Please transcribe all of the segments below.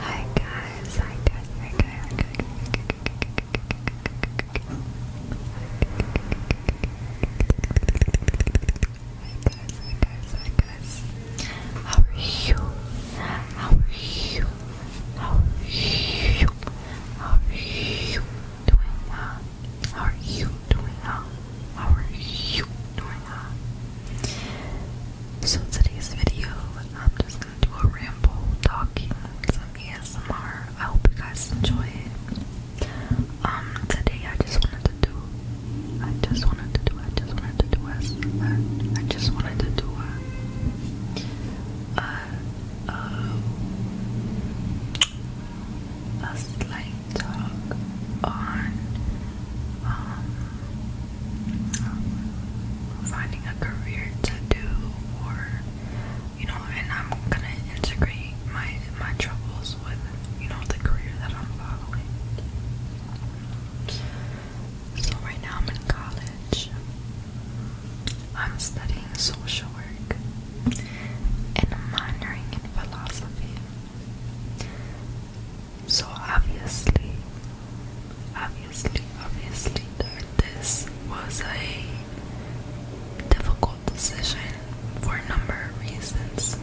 Hi guys, hi guys, hi guys, hi guys. Hi guys, hi guys, hi guys. How are you? How are you? How are you? How are you doing now? How are you doing now? How are you so, today's video, I'm just gonna do a ramble talking, some ASMR. I hope you guys enjoy it. Um, today I just wanted to do, I just wanted to do, I just wanted to do, I, just wanted to do a, a, a slight talk on, um, um, finding a career to do or you know and I'm gonna integrate my my troubles with you know the career that I'm following. So right now I'm in college. I'm studying social work and I'm minoring in philosophy. So obviously, obviously, obviously this was a difficult decision for a number of reasons.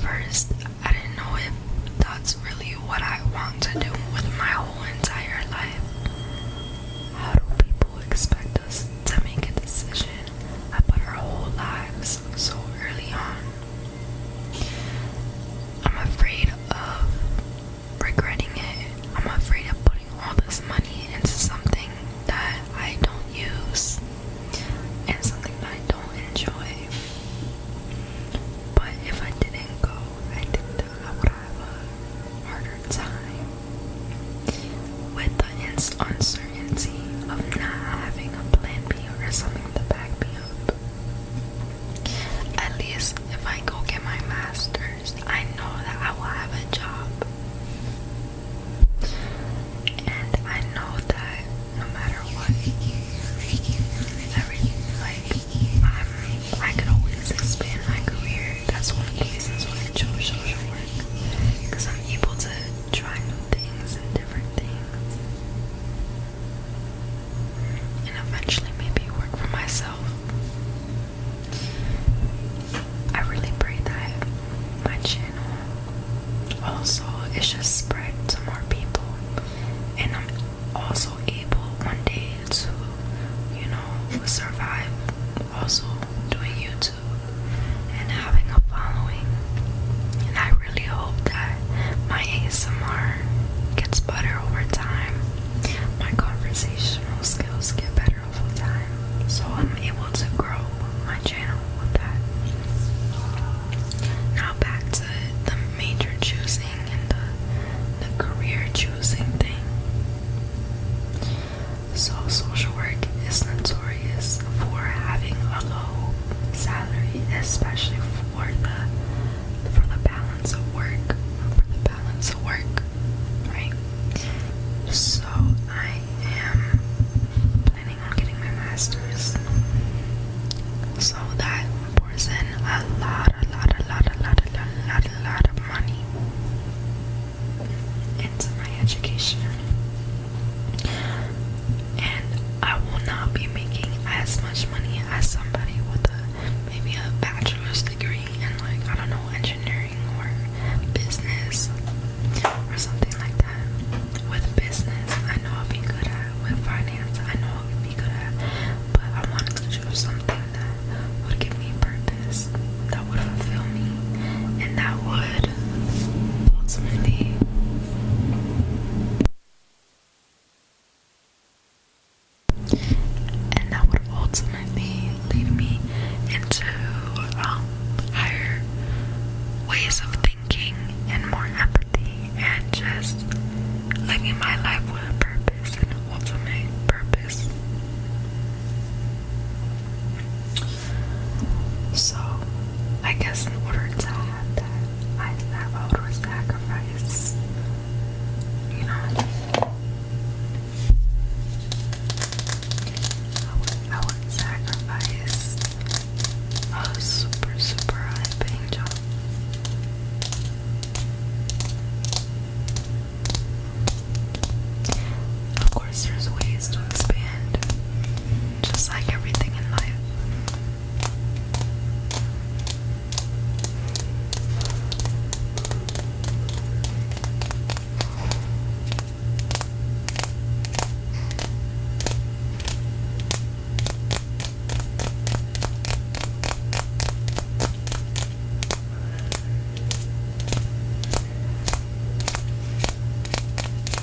First, I didn't know if that's really what I want to do with my whole entire life. How do people expect us to make a decision about our whole lives so early on? I'm afraid of regretting it. I'm afraid of putting all this money into something that I don't use and something that I don't enjoy. But if I didn't go, I think that I would have a harder time with the uncertainty uncertainty of not having a plan B or something to back me up. At least if I go get my master's, I know that I will have a job. And I know that no matter what, every, like, I'm, I could always expand my career. That's one of the reasons why I chose social work. Because I'm able to try new things and different things. And eventually maybe work for myself. I really pray that my channel also it should spread to more people and I'm also able one day to you know survive also doing YouTube and having a following and I I really hope that my ASMR gets better over time. My conversational skills get better over time. So I'm able to grow my channel with that. Now back to the major choosing and the, the career choosing thing. So social work is notorious for having a low salary, especially for the for the balance of work. For the balance of work, right? So I am planning on getting my master's. So that pours in a lot, a lot, a lot, a lot, a lot, a lot, a lot of money into my education and I will not be making as much money as somebody with maybe a bachelor's degree in like I don't know engineering or business or something like that. With business, I know I'll be good at. With finance, I know I'll be good at. But I wanted to choose something that would give me purpose, that would fulfill me, and that would ultimately and that would ultimately lead me into um, higher ways of thinking and more empathy and just living my life with a purpose and ultimate purpose. So, I guess in order to have that, I have that sacrifice, you know. I would sacrifice a super, super high paying job. Of course, there's ways to expand just like everything in life.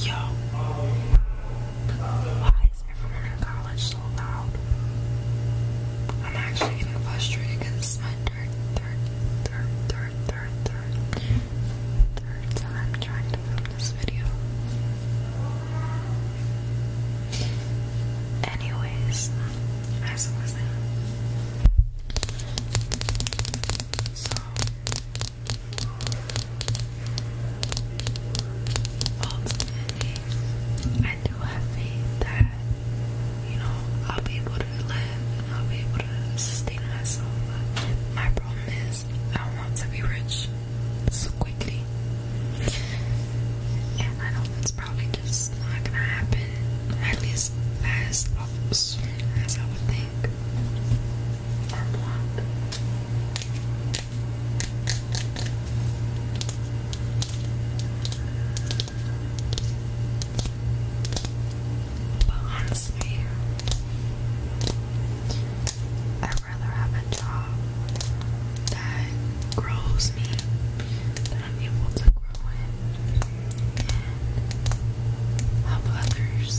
Yo. Why is everyone in college so loud? I'm actually getting frustrated because it's my third, third, third, third, third, third, third time trying to film this video. Anyways, as I was saying, so ultimately, I do have faith that, you know, I'll be able to live and I'll be able to sustain myself. My problem is, I want to be rich so quickly. And I know it's probably just not gonna happen, at least as soon as I would think. I'd rather have a job that grows me, that I'm able to grow in, help others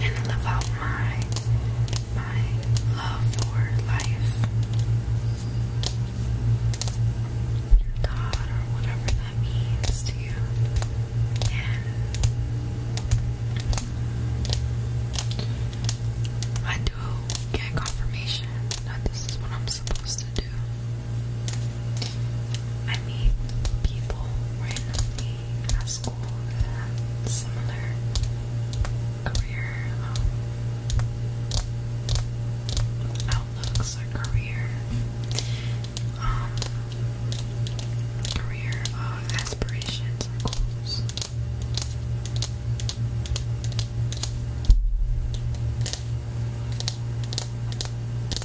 and live out my my love for life. God or whatever that means to you. And I do get confirmation that this is what I'm supposed to do. I meet people randomly a school and similar career um, outlooks or career um, career aspirations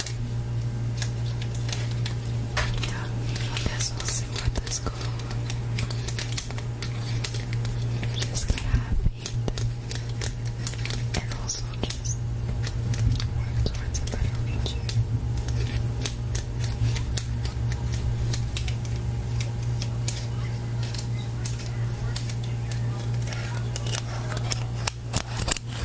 Yeah, I guess we'll see what this goes. i just going and also just work towards a better future.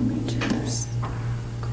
Let me just grab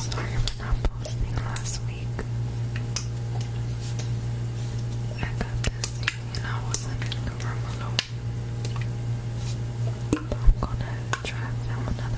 Sorry for not posting last week. I got this and I wasn't in the room alone. But I'm gonna try them another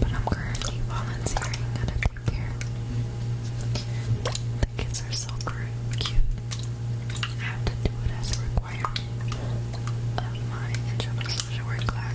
But I'm currently volunteering at a daycare. The kids are so cute. I have to do it as a requirement of my intro to social work class.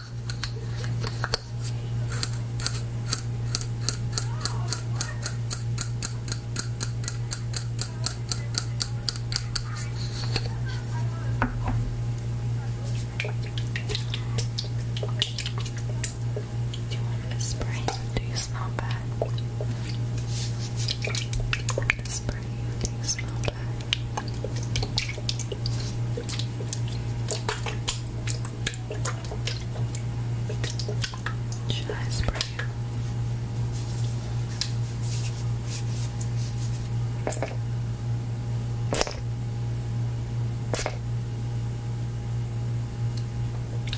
Do you want a spray? Do you smell bad? Do you want a spray? Do you smell bad? Should I spray it?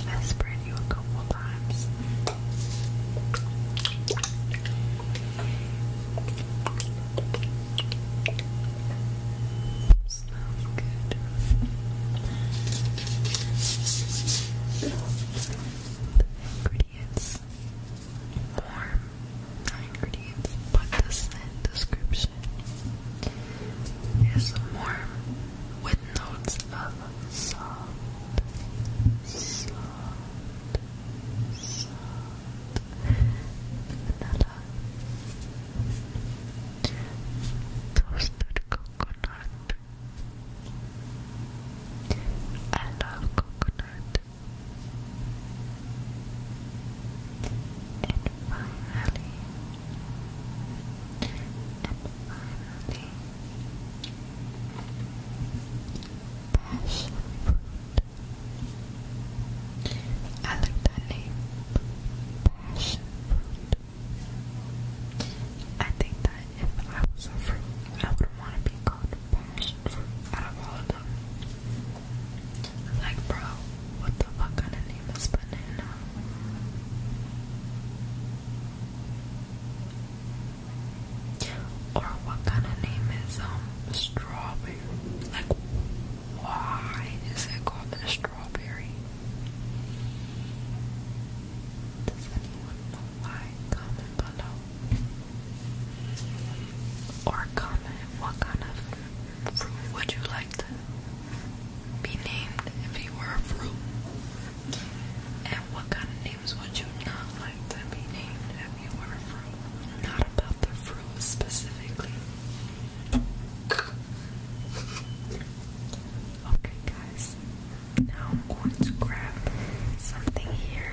I sprayed you a couple times. Smells good. ingredients. Warm. ingredients, but the scent description is warm with notes of soft, soft, soft vanilla, toasted coconut. I love coconut. And finally, finally, passion I like that name. Passion fruit. I think that if I was a fruit, I would want to be called passion fruit out of all of them. Like, bro, what the fuck kind of name is banana? Or what kind of name is um strawberry? Like why is it called a strawberry? Does anyone know why? Comment below. Or comment what kind of fruit would you like to be named if you were a fruit? And what kind of names would you not like to be named if you were a fruit? Not about the fruit specifically, Okay, guys, now I'm going to grab something here.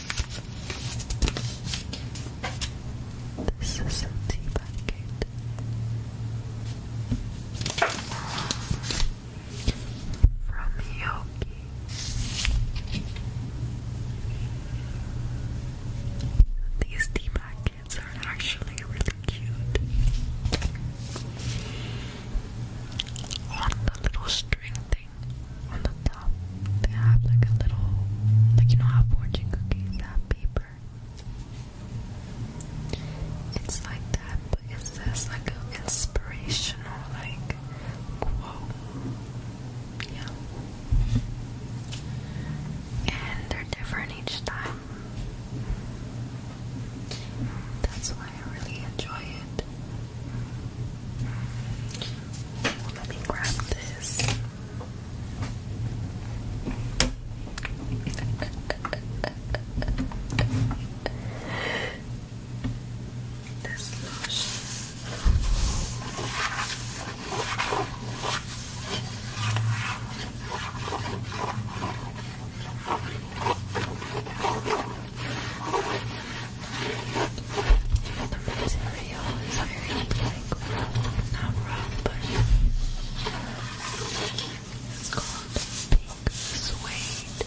This is a tea packet from Yogi. These tea packets are actually really cute. On the little string on the top. They have like a little, like you know how fortune cookies have paper. It's like that, but it says like an inspirational like quote. Yeah. And they're different each time. That's why I really enjoy it let me grab this. this lotion. The material is very like not rough, but it's called pink suede.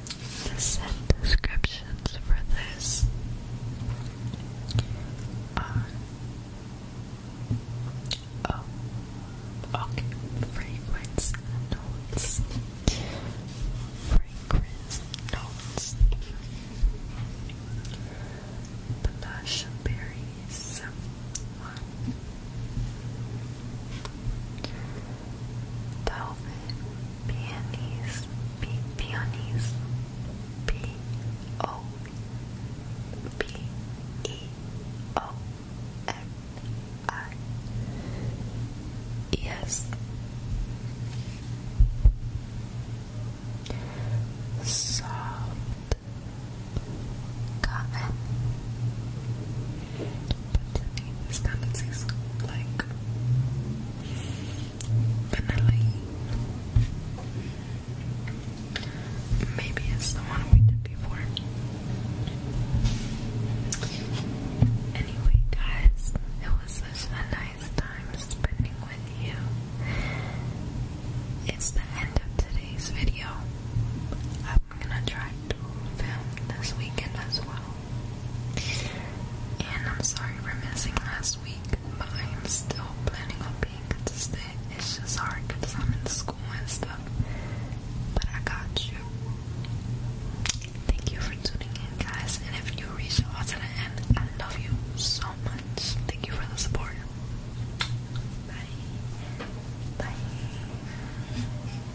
The descriptions for this oh, okay, fragrance notes, fragrance notes, blush berries, Delvin P Peonies P O P E O N I E S Soft Cotton but to me like vanilla maybe it's the one we did before anyway guys it was such a nice time spending with you it's the end of today's video I'm gonna try to film this weekend as well. And I'm sorry for missing last week, but I am still planning on being consistent. It's just hard because I'm in school and stuff. But I got you. Thank you for tuning in, guys. And if you reach out at the end, I love you so much. Thank you for the support. Bye. Bye.